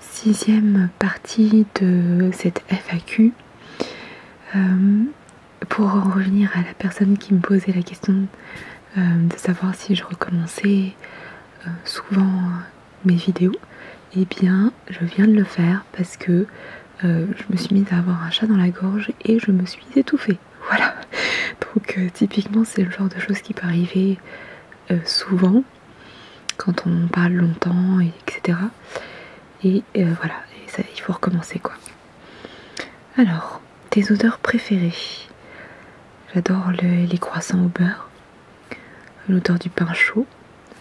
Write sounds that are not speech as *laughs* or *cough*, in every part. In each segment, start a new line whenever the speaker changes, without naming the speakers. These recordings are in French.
Sixième partie de cette FAQ. Euh, pour revenir à la personne qui me posait la question euh, de savoir si je recommençais euh, souvent mes vidéos, eh bien je viens de le faire parce que je me suis mise à avoir un chat dans la gorge et je me suis étouffée. Voilà. Donc euh, typiquement c'est le genre de choses qui peut arriver euh, souvent quand on parle longtemps, etc. Et euh, voilà, il faut recommencer quoi. Alors, tes odeurs préférées. J'adore les croissants au beurre, l'odeur du pain chaud,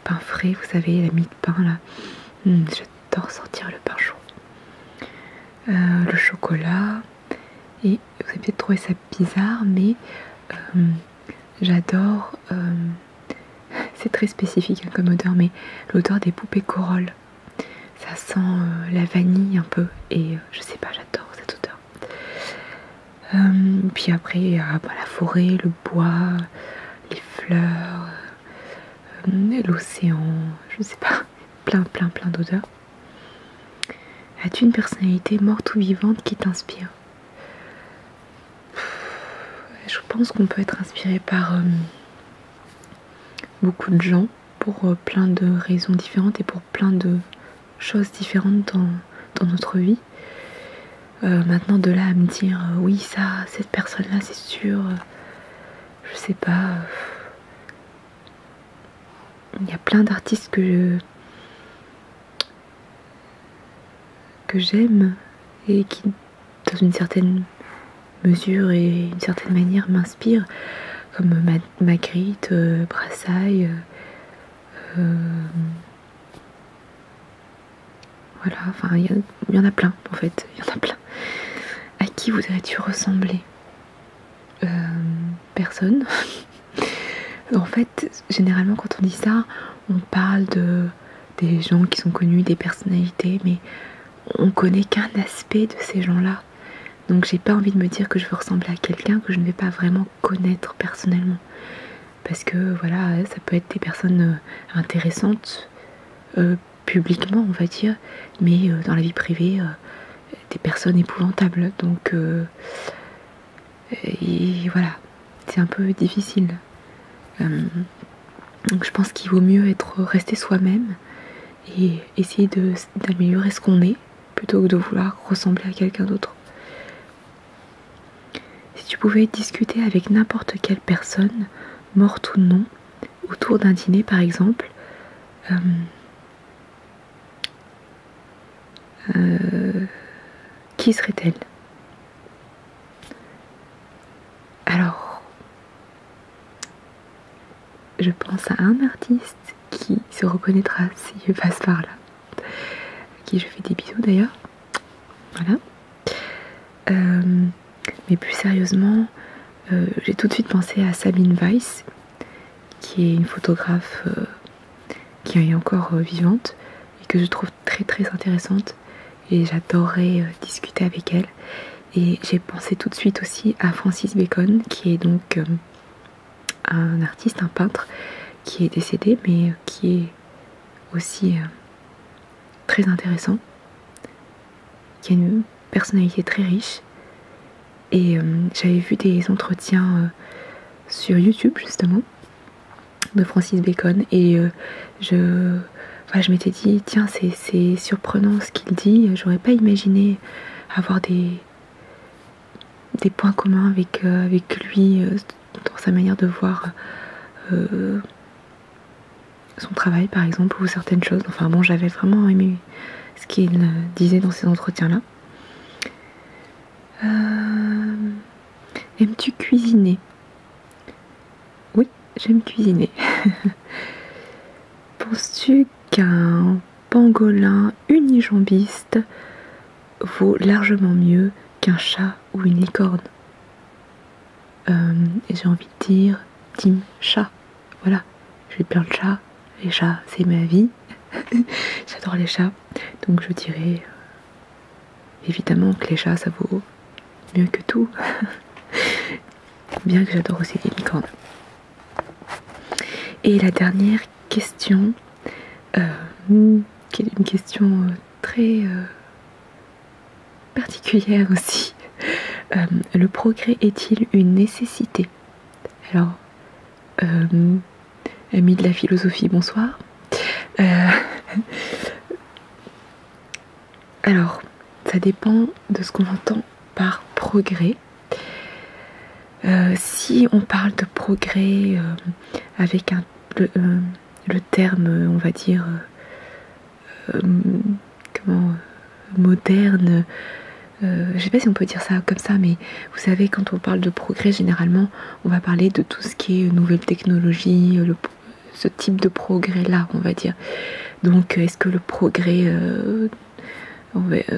pain frais, vous savez, la mie de pain là. Hmm, d'en sortir le pain chaud, euh, le chocolat. Et vous avez peut-être trouvé ça bizarre, mais euh, j'adore. Euh, *laughs* c'est très spécifique hein, comme odeur, mais l'odeur des poupées corolles Ça sent la vanille un peu, et je sais pas, j'adore cette odeur. puis après, il y a bah, la forêt, le bois, les fleurs, euh, l'océan, je ne sais pas, plein, plein, plein d'odeurs. As-tu une personnalité morte ou vivante qui t'inspire Je pense qu'on peut être inspiré par euh, beaucoup de gens pour euh, plein de raisons différentes et pour plein de choses différentes dans, notre vie. maintenant de là à me dire oui ça cette personne là c'est sûr je sais pas. Euh, il y a plein d'artistes que que j'aime et qui, dans une certaine mesure et une certaine manière, m'inspirent, comme Magritte, euh, Brassailles. Euh, voilà, enfin, il y, en a plein en fait, il y en a plein. À qui voudrais-tu ressembler euh, Personne. *laughs* en fait, généralement, quand on dit ça, on parle de des gens qui sont connus, des personnalités, mais on connaît qu'un aspect de ces gens-là. Donc j'ai pas envie de me dire que je veux ressembler à quelqu'un que je ne vais pas vraiment connaître personnellement. Parce que voilà, ça peut être des personnes euh, intéressantes, euh, publiquement, on va dire, mais euh, dans la vie privée, euh, des personnes épouvantables. Donc, euh, et voilà, c'est un peu difficile. donc, je pense qu'il vaut mieux être rester soi-même et essayer d'améliorer ce qu'on est plutôt que de vouloir ressembler à quelqu'un d'autre. Si tu pouvais discuter avec n'importe quelle personne, morte ou non, autour d'un dîner par exemple, euh, euh, qui serait-elle Alors, je pense à un artiste qui se reconnaîtra si je passe par là, à qui je fais des bisous d'ailleurs. Voilà. Euh, mais plus sérieusement, euh, j'ai tout de suite pensé à Sabine Weiss, qui est une photographe euh, qui est encore euh, vivante et que je trouve très très intéressante et j'adorerais discuter avec elle. Et j'ai pensé tout de suite aussi à Francis Bacon, qui est donc un artiste, un peintre, qui est décédé, mais qui est aussi très intéressant, qui a une personnalité très riche. Et euh, j'avais vu des entretiens euh, sur YouTube justement de Francis Bacon et euh, je, je m'étais dit tiens c'est surprenant ce qu'il dit, j'aurais pas imaginé avoir des, des points communs avec, avec lui dans sa manière de voir son travail par exemple ou certaines choses. Enfin bon, j'avais vraiment aimé ce qu'il euh, disait dans ces entretiens-là. Euh, aimes-tu cuisiner Oui, j'aime cuisiner. *laughs* Penses-tu qu'un pangolin unijambiste vaut largement mieux qu'un chat ou une licorne euh, et j'ai envie de dire Tim chat. Voilà, j'ai plein de chats. Les chats, c'est ma vie. *laughs* J'adore les chats. Donc je dirais euh, évidemment que les chats, ça vaut mieux que tout. *laughs* Bien que j'adore aussi les licornes. Et la dernière question, euh, hmm, qui est une question très particulière aussi. Euh, le progrès est-il une nécessité Alors, amis euh, ami de la philosophie, bonsoir. Euh, *laughs* alors, ça dépend de ce qu'on entend par progrès. si on parle de progrès avec un, le, terme, on va dire, euh, comment, euh, moderne. Euh, je ne sais pas si on peut dire ça comme ça, mais vous savez, quand on parle de progrès, généralement, on va parler de tout ce qui est nouvelle technologie, ce type de progrès-là, on va dire. Donc, est-ce que le progrès,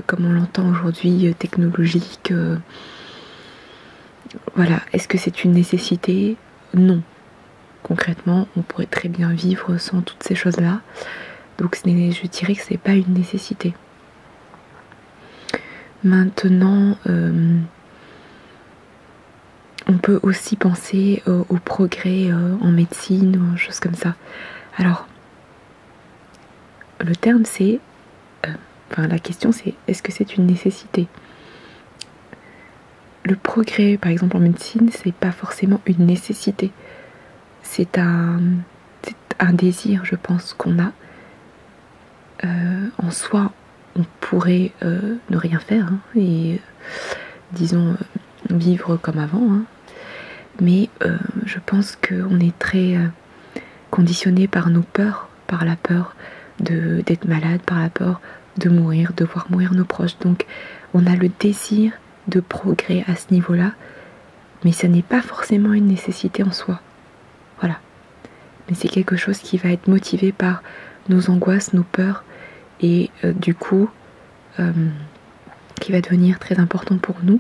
comme on l'entend aujourd'hui, technologique, voilà, est-ce que c'est une nécessité Non. Concrètement, on pourrait très bien vivre sans toutes ces choses-là. Donc je dirais que c'est pas une nécessité. Maintenant, euh, on peut aussi penser euh, au progrès euh, en médecine ou choses comme ça. Alors, le terme c'est, enfin la question c'est, est-ce que c'est une nécessité le progrès, par exemple en médecine, c'est pas forcément une nécessité. C'est un, désir, je pense, qu'on a. Euh, en soi, on pourrait euh, ne rien faire hein, et, euh, disons, vivre comme avant. Hein. Mais je pense qu'on est très conditionné par nos peurs, par la peur d'être malade, par la peur de mourir, de voir mourir nos proches. Donc on a le désir de progrès à ce niveau-là, mais ça n'est pas forcément une nécessité en soi. Voilà. Mais c'est quelque chose qui va être motivé par nos angoisses, nos peurs, et euh, du coup, euh, qui va devenir très important pour nous,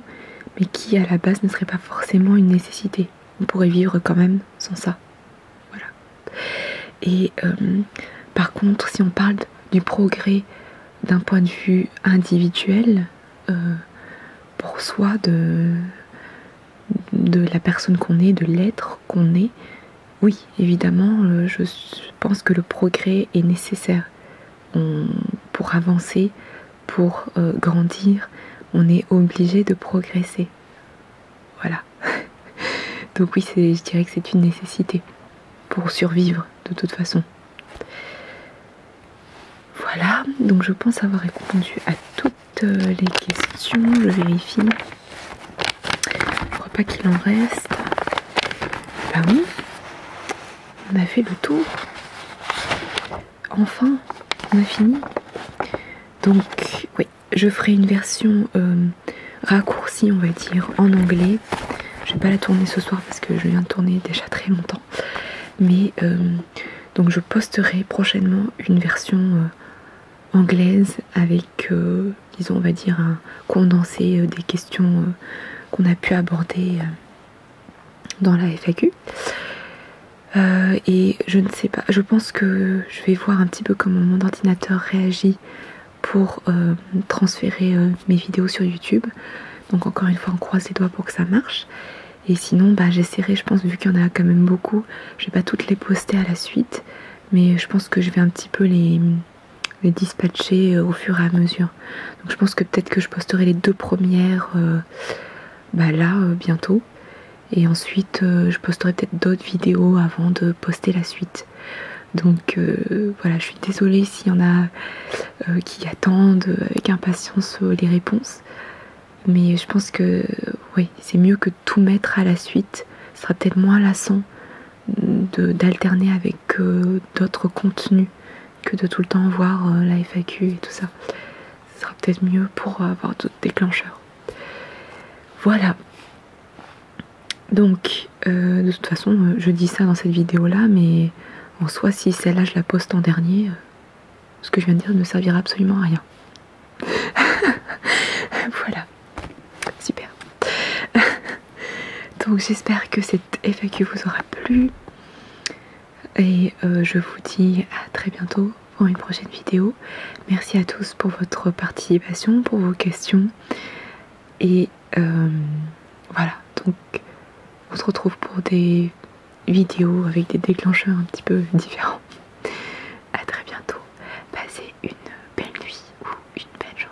mais qui à la base ne serait pas forcément une nécessité. On pourrait vivre quand même sans ça. Voilà. Et euh, par contre, si on parle du progrès d'un point de vue individuel, euh, pour soi, de, de la personne qu'on est, de l'être qu'on est, oui, évidemment, euh, je pense que le progrès est nécessaire. pour avancer, pour grandir, on est obligé de progresser. Voilà. *laughs* Donc oui, je dirais que c'est une nécessité pour survivre de toute façon. Voilà, donc je pense avoir répondu à toutes euh, les questions. Je vérifie. Je crois pas qu'il en reste. Bah oui, on a fait le tour. Enfin, on a fini. Donc oui, je ferai une version euh, raccourcie, on va dire, en anglais. Je vais pas la tourner ce soir parce que je viens de tourner déjà très longtemps. Mais euh, donc je posterai prochainement une version euh, anglaise avec, disons, on va dire, un condensé des questions qu'on a pu aborder dans la FAQ. et je ne sais pas, je pense que je vais voir un petit peu comment mon ordinateur réagit pour euh, transférer euh, mes vidéos sur YouTube. Donc encore une fois on croise les doigts pour que ça marche. Et sinon bah, j'essaierai je pense vu qu'il y en a quand même beaucoup, je vais pas toutes les poster à la suite mais je pense que je vais un petit peu les, dispatcher euh, au fur et à mesure. Donc je pense que peut-être que je posterai les deux premières bah, là bientôt et ensuite je posterai peut-être d'autres vidéos avant de poster la suite. Donc euh, voilà, je suis désolée s'il y en a euh, qui attendent avec impatience euh, les réponses. Mais je pense que oui, c'est mieux que tout mettre à la suite. Ce sera peut-être moins lassant d'alterner avec d'autres contenus que de tout le temps voir la FAQ et tout ça. Ce sera peut-être mieux pour avoir d'autres déclencheurs. Voilà. Donc, euh, de toute façon, euh, je dis ça dans cette vidéo-là, mais en soi, si celle-là, je la poste en dernier, euh, ce que je viens de dire ne servira absolument à rien. *laughs* voilà. Super. *laughs* Donc, j'espère que cette FAQ vous aura plu. Et je vous dis à très bientôt pour une prochaine vidéo. Merci à tous pour votre participation, pour vos questions. Et euh, voilà, donc on se retrouve pour des vidéos avec des déclencheurs un petit peu différents. A très bientôt. Passez une belle nuit ou une belle journée.